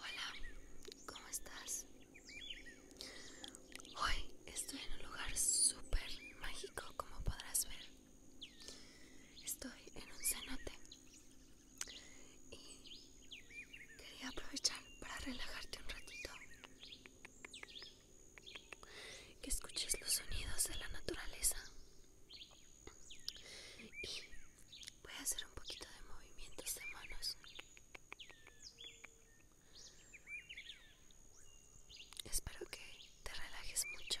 Hola, ¿cómo estás? Hoy estoy en un lugar súper mágico, como podrás ver. Estoy en un cenote y quería aprovechar para relajarte un ratito. Que escuches los sonidos de la naturaleza y Voy a hacer un poquito de movimientos de manos. Espero que te relajes mucho.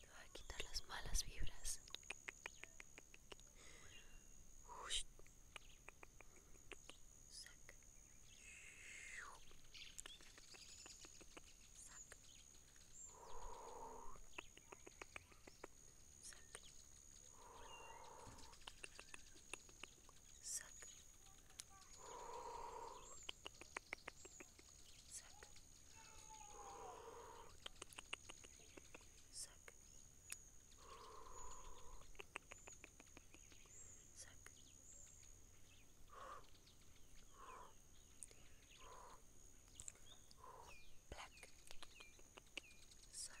Te voy a quitar las malas vibras. Uy. Sac. Sac. Sac. Suck. Suck. Suck. Suck. Black. Suck. Black.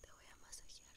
Te voy a masajear.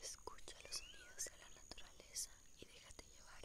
Escucha los sonidos de la naturaleza y déjate llevar.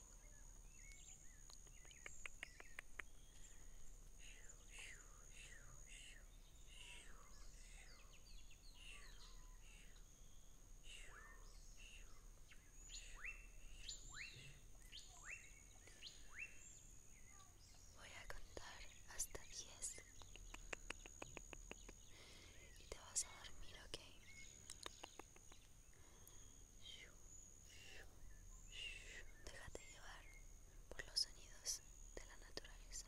Voy a contar hasta 10 y te vas a dormir, ¿ok? Déjate llevar por los sonidos de la naturaleza.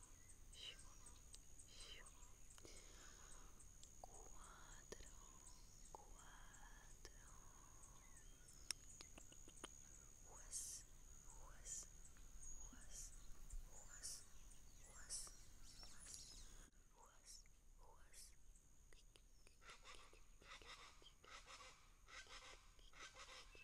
cuatro, cuatro, was, was, was, was, was, was, was, was.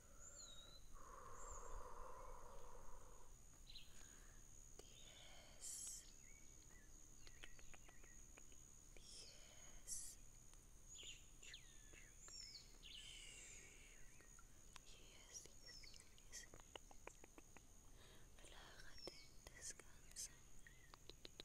Relájate, descansa. Sueña bonito.